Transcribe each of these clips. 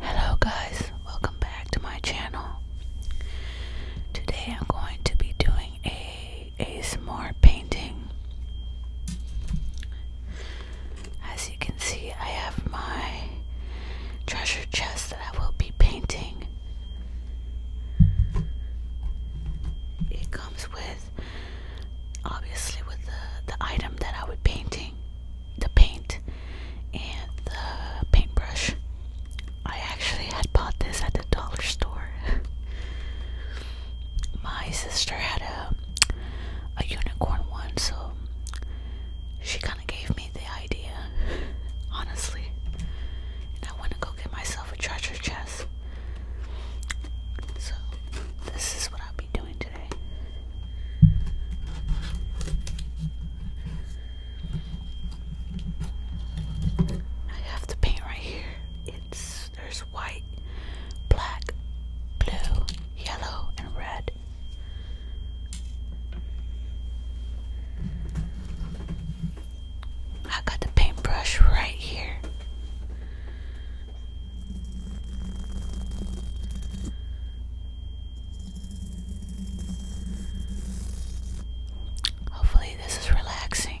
Hello, guys, welcome back to my channel. Today, I'm going to be doing a ASMR painting. As you can see, I have my treasure chest that I will be painting. It comes with obviously with the, the item that I will be painting, the paint and the paintbrush. I actually had bought this at the dollar store. My sister had a a unicorn one, so she kind of gave me the idea, honestly. And I want to go get myself a treasure chest. So, this is what I'll be doing today. I have the paint right here. It's there's white, black, blue, yellow, and red. I got the paintbrush right here. Hopefully, this is relaxing.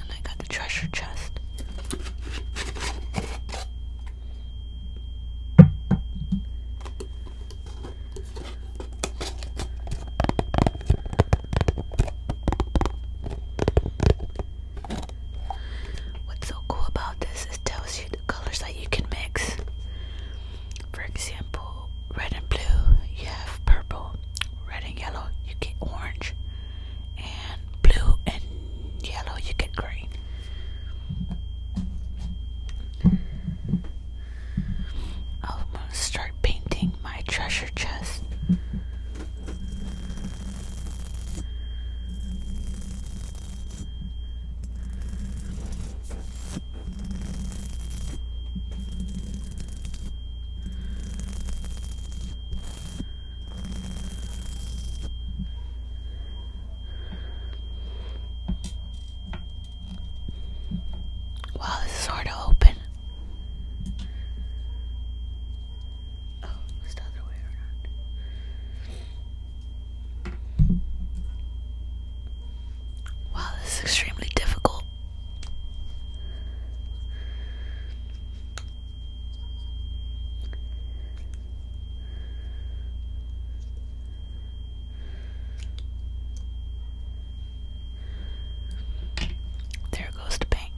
And I got the treasure chest. What's so cool about this is tells you the colors that you can mix. For example, red and blue, you have purple. Red and yellow, you get orange. And blue and yellow, you get green. I'm gonna start painting my treasure chest. Wow, this is hard to open. Oh, it's the other way around. Wow, this is extremely difficult. There goes to bang.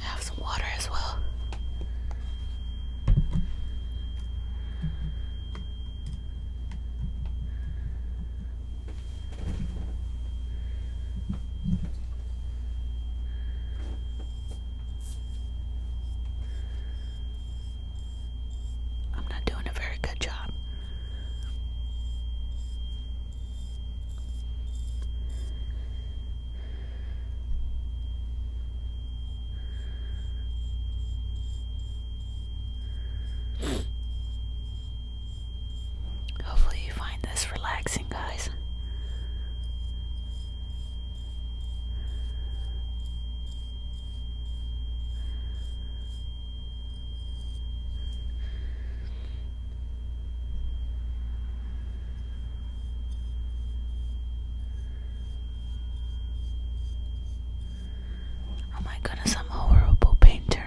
Have some water as well. I'm not doing a very good job. Hopefully, you find this relaxing, guys. Oh my goodness, I'm a horrible painter.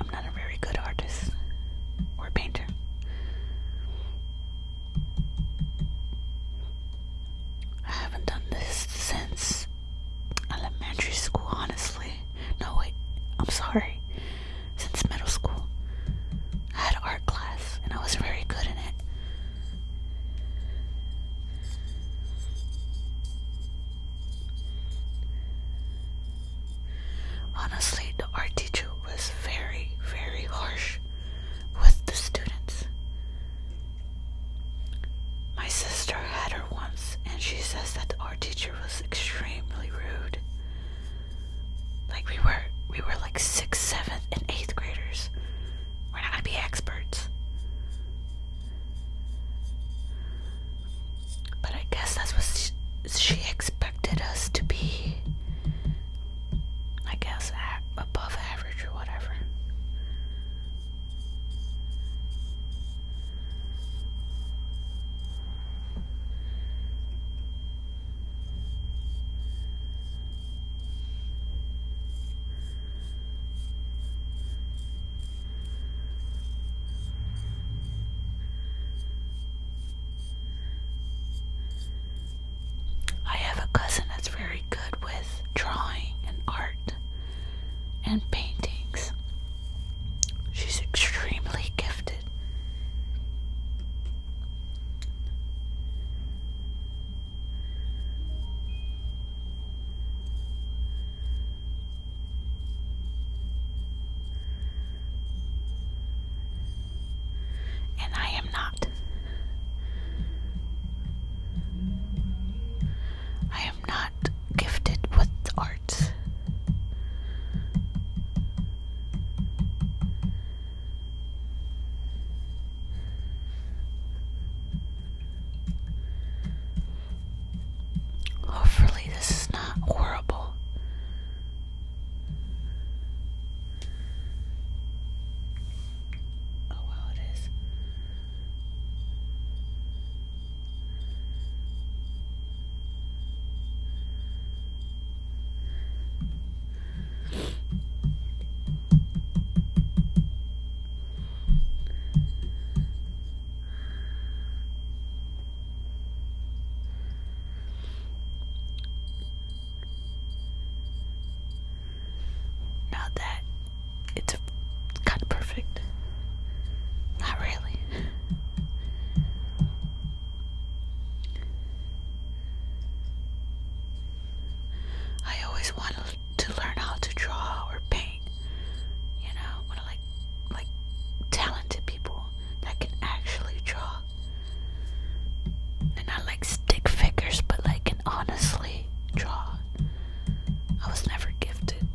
I'm not a very good artist or painter. I haven't done this since elementary school, honestly. No, wait, I'm sorry. Since middle school, I had art class and I was very good in it. Honestly, the art teacher was very, very harsh with the students. My sister had her once, and she says that the art teacher was extremely rude. Like we were, we were like sixth, seventh, and eighth graders. We're not gonna be experts. But I guess that's what she, expected us to be. I guess above average or whatever. I have a cousin that's very good with drawing and art and paintings. She's extremely gifted. And I am not. I am not gifted with arts. Hopefully, this is not horrible. Oh, wow, it is. Not that it's kind of perfect. Not really. I always wanted to learn how to draw or paint. You know, when I like like talented people that can actually draw. And not like stick figures, but like can honestly draw. I was never gifted.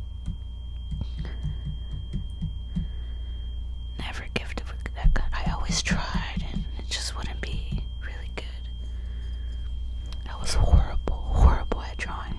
Never gifted that kind. I always tried and it just wouldn't be really good. That was horrible, horrible at drawing.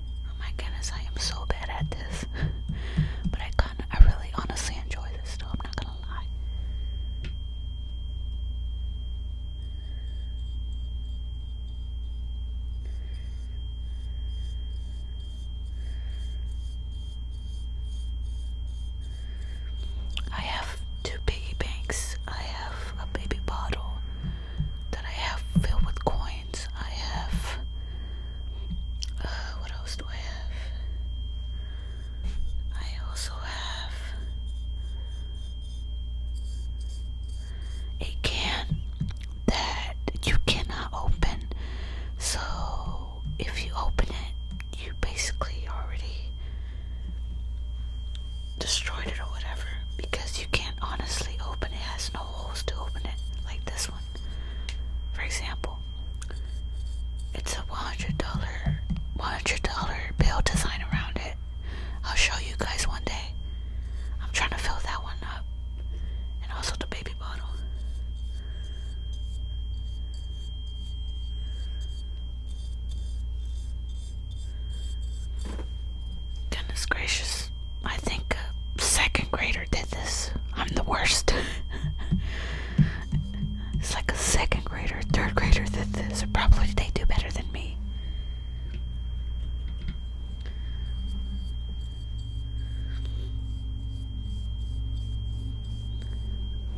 Oh my goodness, I am so bad at this. but I kind I really honestly enjoy this though, I'm not gonna lie. I have two piggy banks. I have a baby bottle that I have filled with coins. I have. Uh, what else do I have? I also have a can that you cannot open. So if you open it, you basically already destroyed it or whatever because you can't honestly open it. it no holes to open it, like this one. For example, it's a $100, $100 bill design around it. I'll show you guys one day. I'm trying to fill that one up. And also the baby bottle. Goodness gracious. I think a second grader did this. I'm the worst. it's like a second grader, third grader did this. Probably they do better than me.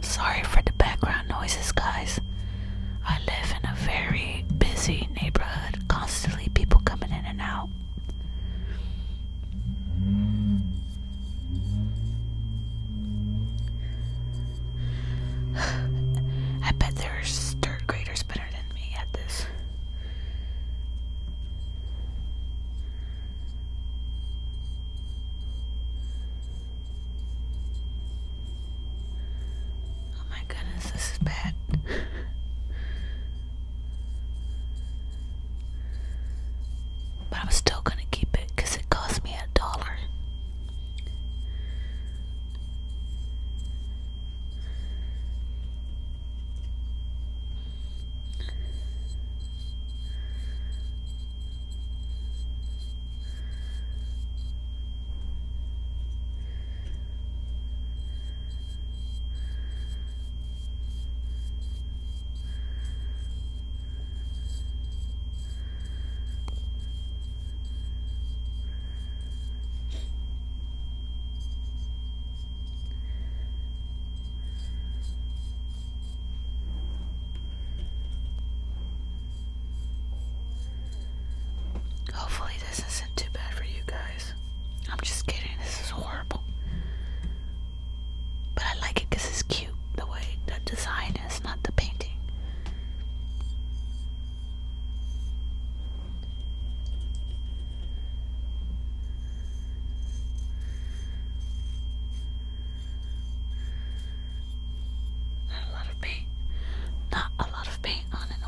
Sorry for the background noises, guys. I live in a very busy neighborhood, constantly people coming in and out. I bet there's third graders better than me at this. Oh my goodness, this is bad. But I'm still gonna keep it because it cost me a dollar. Hopefully, this isn't too bad for you guys. I'm just kidding. This is horrible. But I like it it's cute. The way the design is, not the painting. Not a lot of paint. Not a lot of paint on it no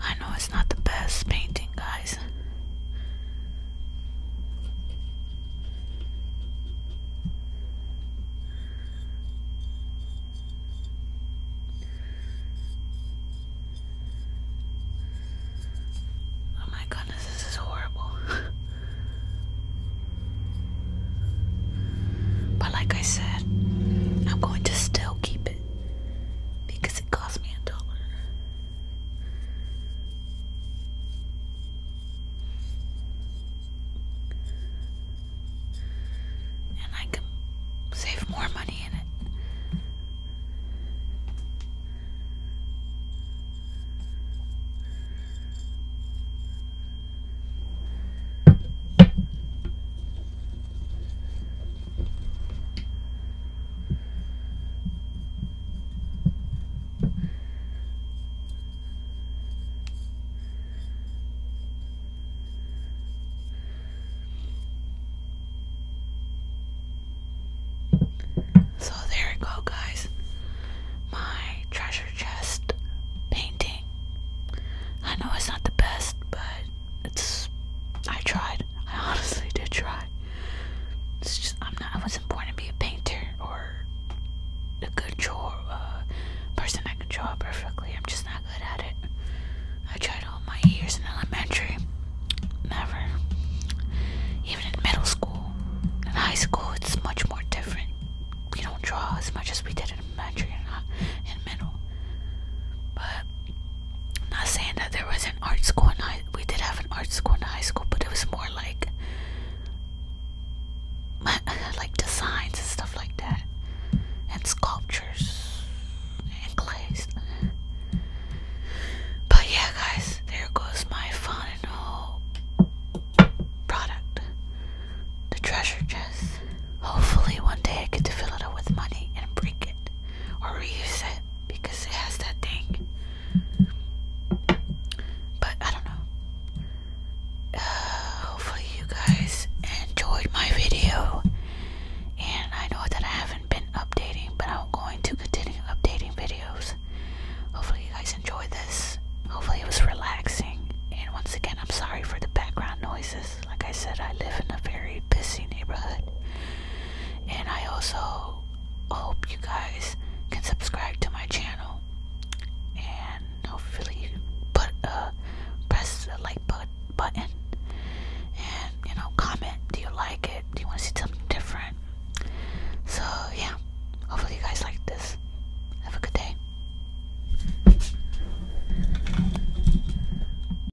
I know it's not the best painting, guys. Oh my goodness, this is horrible. but like I said, I'm going to still keep it because it cost me a dollar. And I can save more money in it. So there you go, guys. My treasure chest painting. I know it's not the best, but it's I tried. I honestly did try. It's just I'm not I wasn't born to be a painter or a good drawer uh, person that can draw perfectly. I'm just not good at it. I tried all my years in elementary. Never. Even in middle school. In high school it's much more different. We don't draw as much as we did in elementary and in middle. But not saying that there was an art school in high we did have an art school in high school, but it was more like like designs and stuff like that. And sculptures and clays. But yeah guys, there goes my final product. The treasure chest. Hopefully one day I get to fill it with money and break it or reuse it because it has that thing. But I don't know. Uh, hopefully, you guys enjoyed my video. And I know that I haven't been updating, but I'm going to continue updating videos. Hopefully, you guys enjoyed this. Hopefully, it was relaxing. And once again, I'm sorry for the background noises like I said, I live in a very busy neighborhood. And I also hope you guys can subscribe to my channel and hopefully you put uh press the like bu button and you know comment do you like it do you want to see something different so yeah hopefully you guys like this have a good day